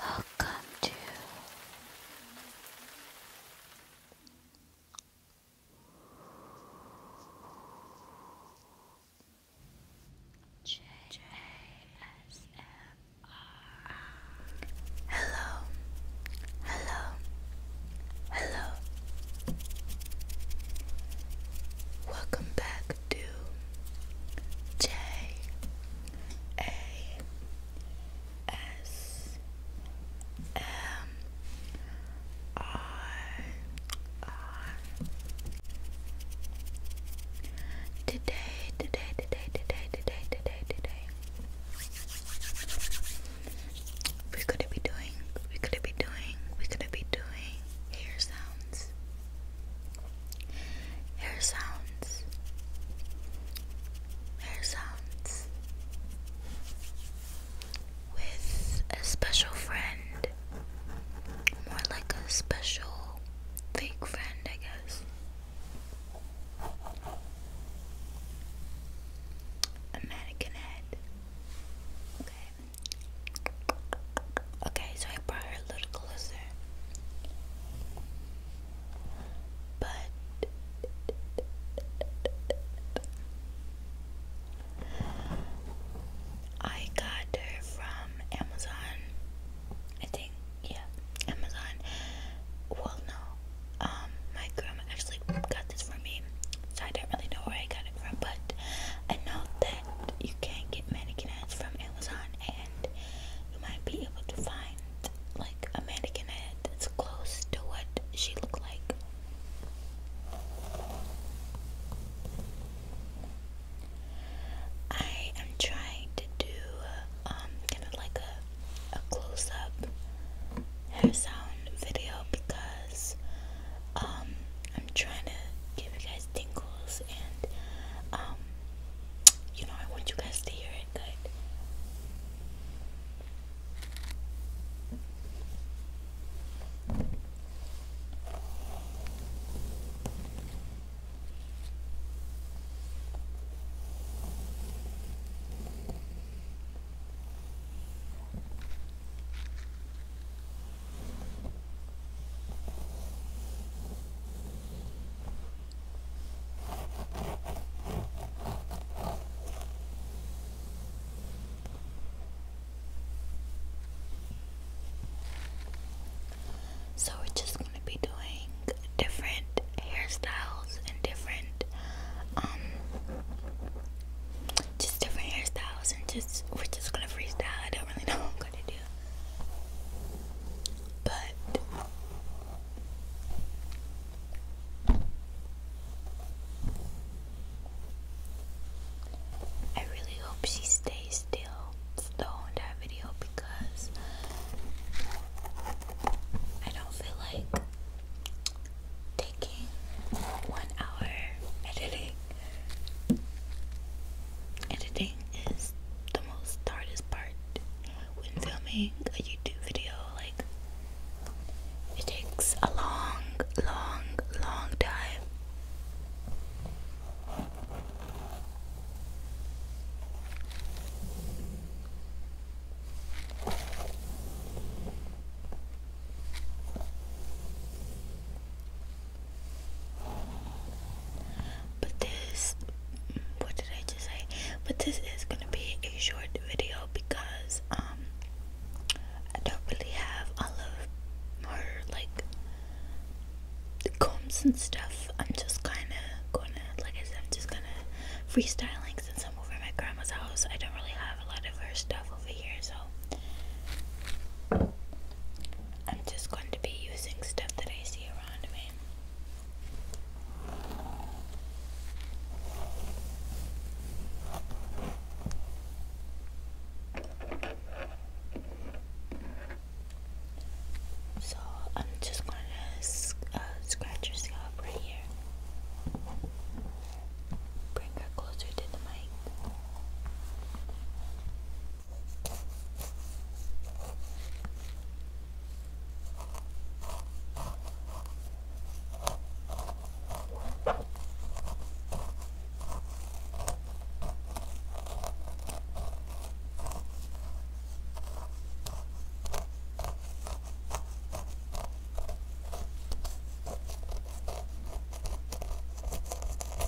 Welcome to JASMR. Hello, hello, hello. Welcome back do Today, today, today, today, today, today, today. We're gonna be doing, we're gonna be doing, we're gonna be doing hair sounds sounds, sounds, hair sounds with a special friend, more like a special fake friend, I guess. A head. Okay. Okay, so I brought her a little closer. But I got her from Amazon. I think, yeah, Amazon. Well, no, um, my grandma actually got this for me, so I don't really know where I got it from, but I know that you can get mannequin heads from Amazon and you might be able to find like a mannequin head that's close to what she looked like. I am trying to do um kind of like a a close up hair sound video because um I'm trying to give you guys guys tingles and um, you know I want you guys to hear it good. So, we're just going to be doing different hairstyles and different um, just different hairstyles and just we're just gonna freestyle. I don't really know what I'm gonna do. But I really hope she stays still still on that video because I don't feel like taking one hour editing Editing is the most hardest part when filming a YouTube video. Like, it takes a long, long, long time. But this, what did I just say? But this is gonna be a short video because um I don't really have all of her like combs and stuff. I'm just kind of gonna, like I said, I'm just gonna freestyling since I'm over at my grandma's house. I don't really have a lot of her stuff over here, so. I'm just going to be using stuff that I see around me. So I'm just going to uh, scratch your scalp right here. Bring her closer to the mic.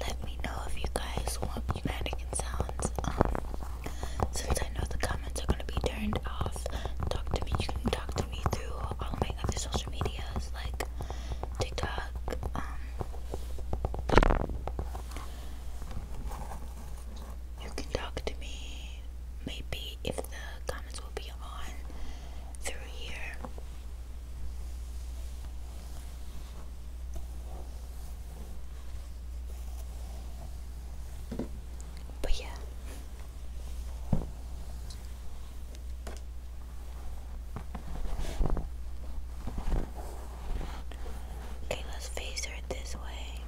Let me know if you guys want Connecticut sounds. Um, since I know the comments are gonna be turned off, talk to me. You can talk to me through all following of your social medias like TikTok, um, you can talk to me maybe if the comments will be on through here. But yeah. Okay, let's face her this way.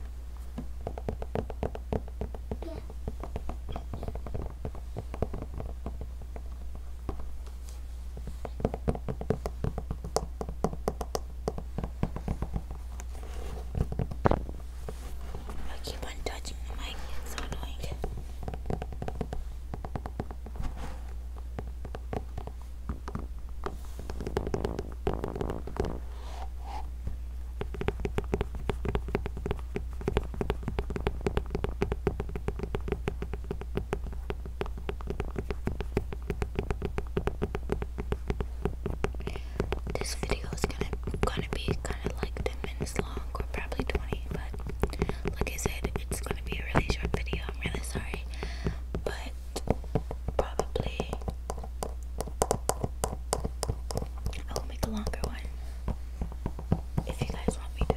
I keep on touching the mic, so annoying. This video is gonna gonna be kind of like minutes long, or probably 20, but like I said, it's gonna be a really short video. I'm really sorry, but probably I will make a longer one if you guys want me to.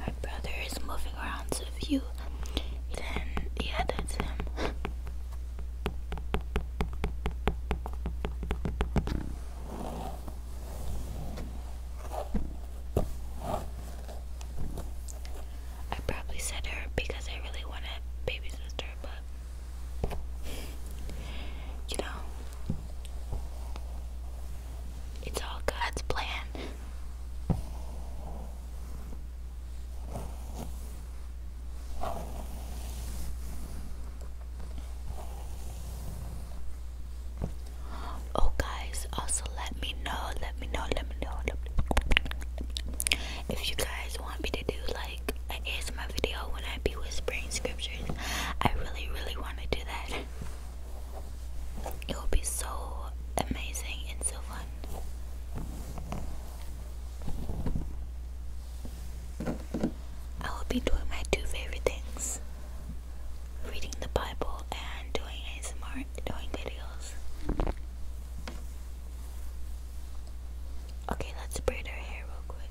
My brother is moving moving around. you then yeah, that's him. I probably said her because I really want a baby sister, but you know, it's all God's plan. Oh, guys, also let me know, let me know, let me know, let me, if you guys want me to do like I an my video when I be whispering scriptures. I really, really want to do that. It will be so amazing and so fun. I will be doing my two favorite things reading the Bible and doing ASMR, doing videos. Okay, let's braid our hair real quick.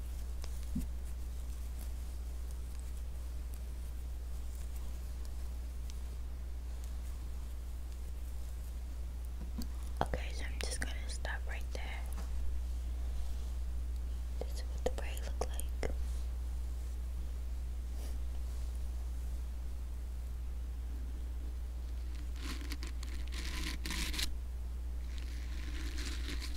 Okay, so I'm just gonna stop right there. This is what the braid look like.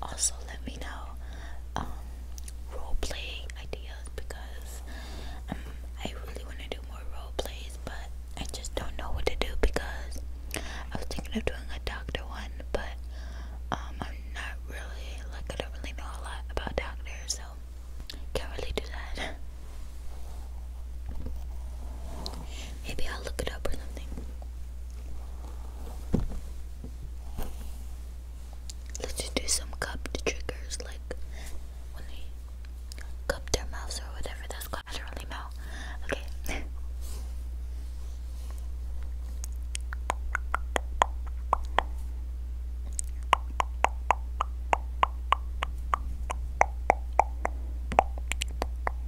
Also, let me know um, role play ideas because um, I really want to do more role plays, but I just don't know what to do because I was thinking of doing a doctor one, but um, I'm not really like I don't really know a lot about doctors, so can't really do that. Maybe I'll look it up or something. Let's just do some cup triggers, like when they cup their mouths or whatever that's called. I don't really know. Okay.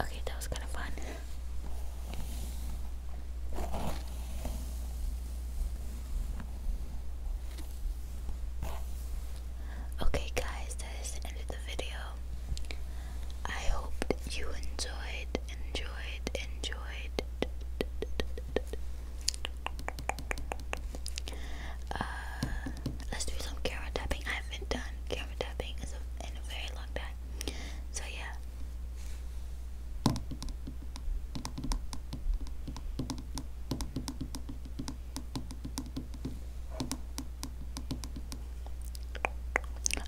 Okay, that was kind of fun. Okay, guys, that is the end of the video. I hope you enjoyed, enjoyed, enjoyed. Uh, let's do some camera tapping. I haven't done camera tapping in a very long time. So, yeah.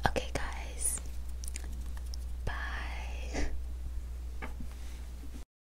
Okay, guys. Bye.